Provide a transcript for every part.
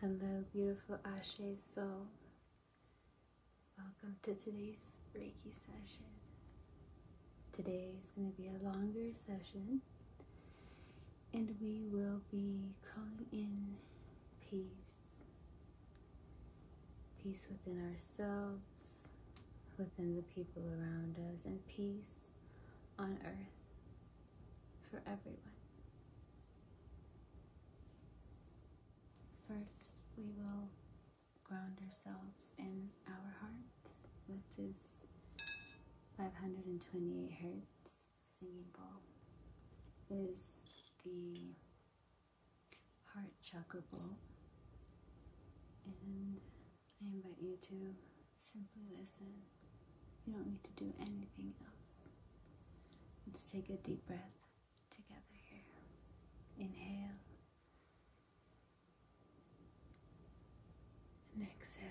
Hello, beautiful Ashe soul. Welcome to today's Reiki session. Today is going to be a longer session, and we will be calling in peace. Peace within ourselves, within the people around us, and peace on earth for everyone. First, we will ground ourselves in our hearts with this 528 hertz singing bowl. Is the heart chakra bowl. And I invite you to simply listen. You don't need to do anything else. Let's take a deep breath together here. Inhale. And exhale.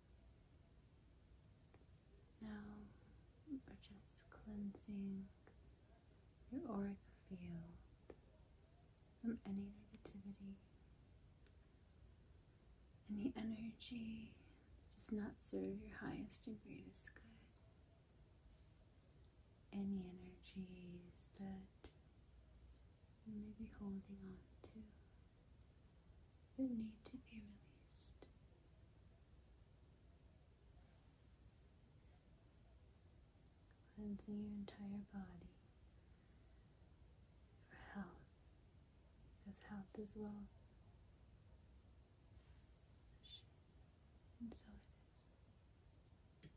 Now we're just cleansing your auric field from any negativity, any energy that does not serve your highest and greatest good, any energies that and maybe holding on to that need to be released. Cleansing your entire body for health, because health is wealth. And so it is.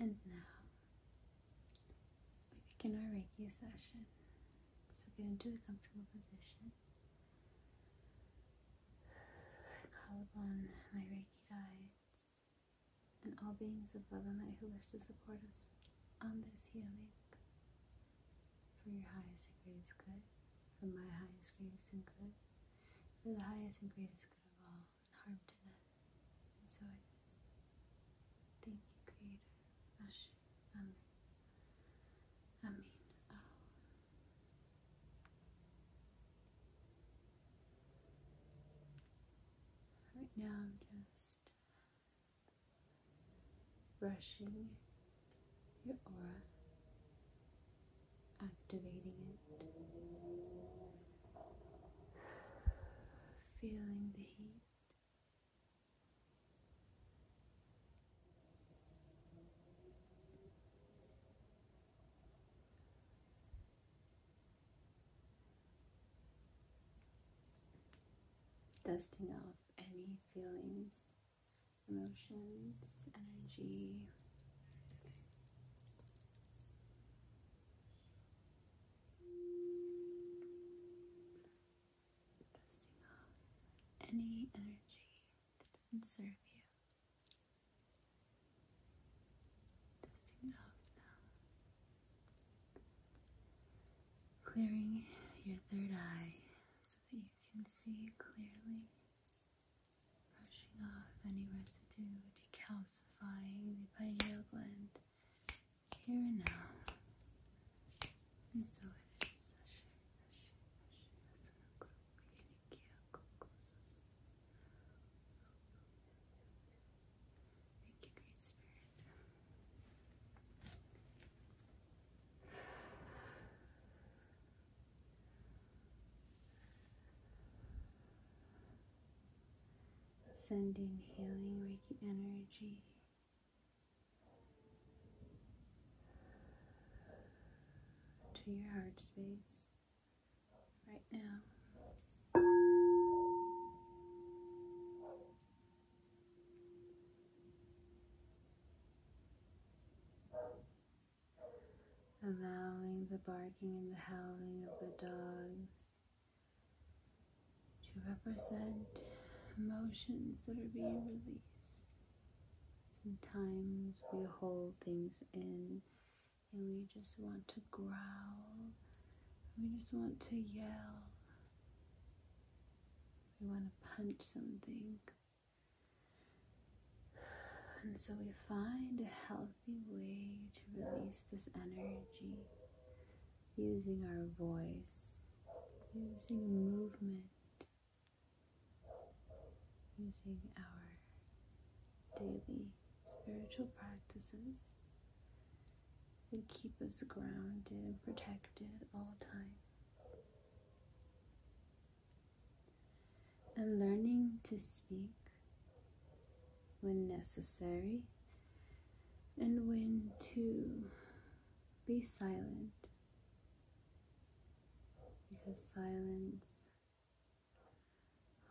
And now we begin our Reiki session. So get into a comfortable position. call upon my Reiki guides, and all beings of love and light who wish to support us on this healing. For your highest and greatest good, for my highest, greatest, and good, for the highest and greatest good of all, and harm to none. And so it is. Thank you, Creator. Ashe. Amen. Oh. Right now, I'm just brushing your aura, activating it, feeling the heat. Dusting off any feelings, emotions, energy. Dusting off any energy that doesn't serve you. Clearing your third eye so that you can see clearly. Brushing off any residue, decalcifying the pineal gland here and now. Thank you, Great Spirit. Sending healing Reiki energy to your heart space right now. Allowing the barking and the howling of the dogs to represent emotions that are being released. Sometimes we hold things in and we just want to growl. We just want to yell. We want to punch something. And so we find a healthy way to release this energy using our voice, using movement, using our daily spiritual practices that keep us grounded and protected at all times. And learning to speak when necessary and when to be silent because silence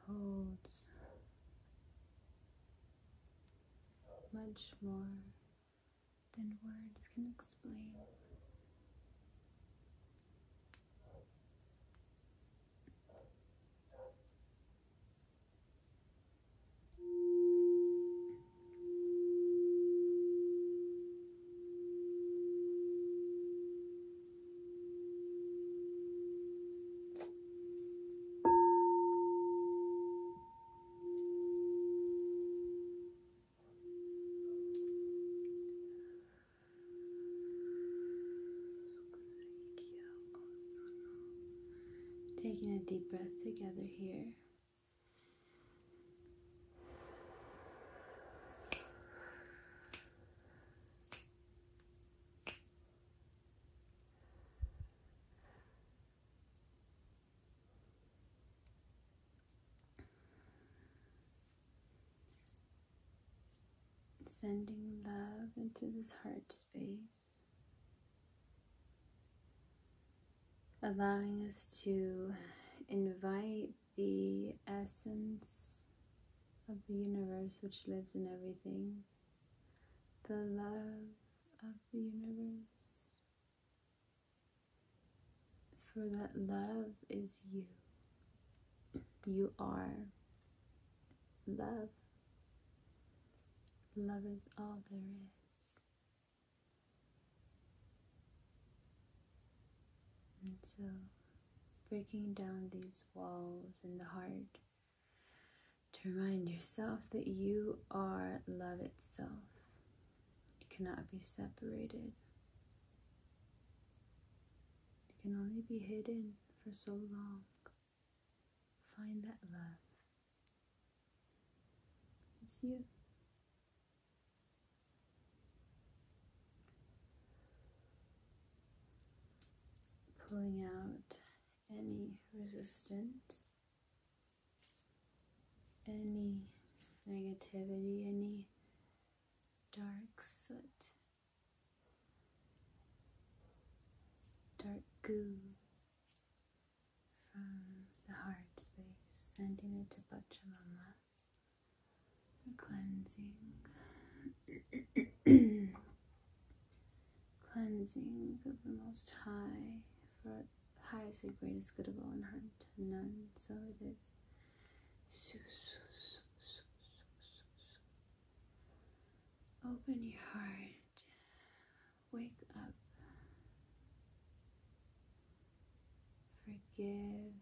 holds much more than words can explain. Taking a deep breath together here. Sending love into this heart space, allowing us to invite the essence of the universe which lives in everything, the love of the universe. For that love is you. You are love. Love is all there is. And so, breaking down these walls in the heart to remind yourself that you are love itself. You cannot be separated, you can only be hidden for so long. Find that love. It's you. Pulling out any resistance, any negativity, any dark soot, dark goo from the heart space, sending it to Pachamama cleansing. cleansing of the most high, for highest and greatest good of all and harm none. So it is. Open your heart. Wake up forgive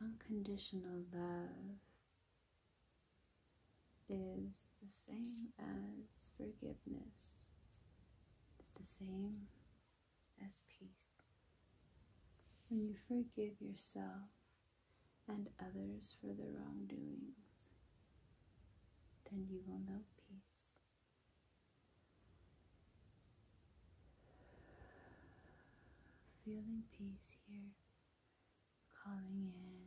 unconditional love is the same as forgiveness it's the same as peace when you forgive yourself and others for their wrongdoings then you will know peace. Feeling peace here, calling in.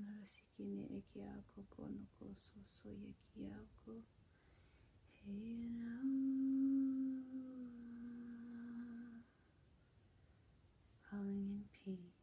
Anarasiki ne ekiako konoko soso yekiako. Hey, Calling in peace.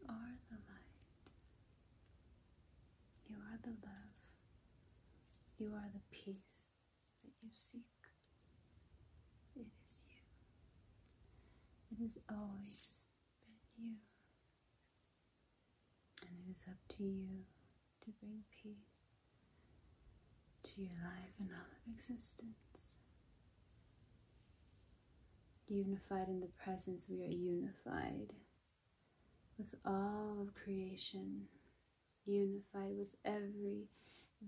You are the light. You are the love. You are the peace that you seek. It is you. It has always been you. And it is up to you to bring peace to your life and all of existence. Unified in the presence, we are unified with all of creation, unified with every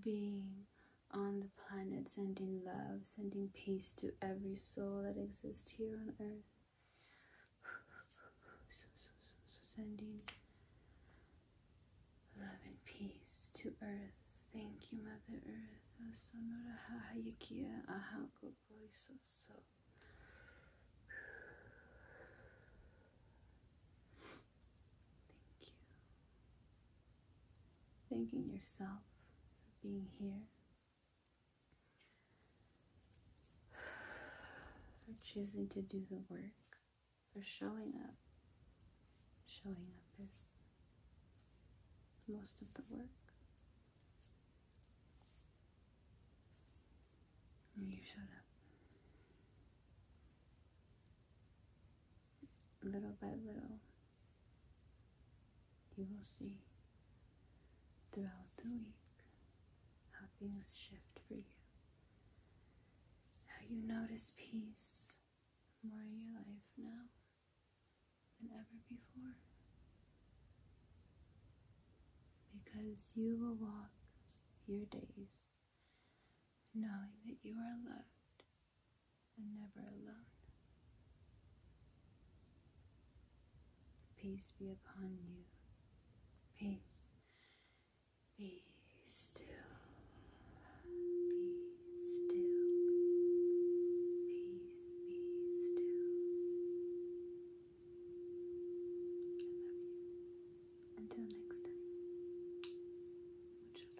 being on the planet, sending love, sending peace to every soul that exists here on earth. So, so, so, sending Love and peace to earth. Thank you, Mother Earth. Sonora Hayakia Ahako so. Thank you. Thanking yourself for being here. For choosing to do the work for showing up. Showing up is most of the work. you showed up. Little by little, you will see throughout the week how things shift for you, how you notice peace more in your life now than ever before. Because you will walk your days knowing that you are loved and never alone. Peace be upon you. Peace be still. Be still. Peace, be still. I love you. Until next time. Much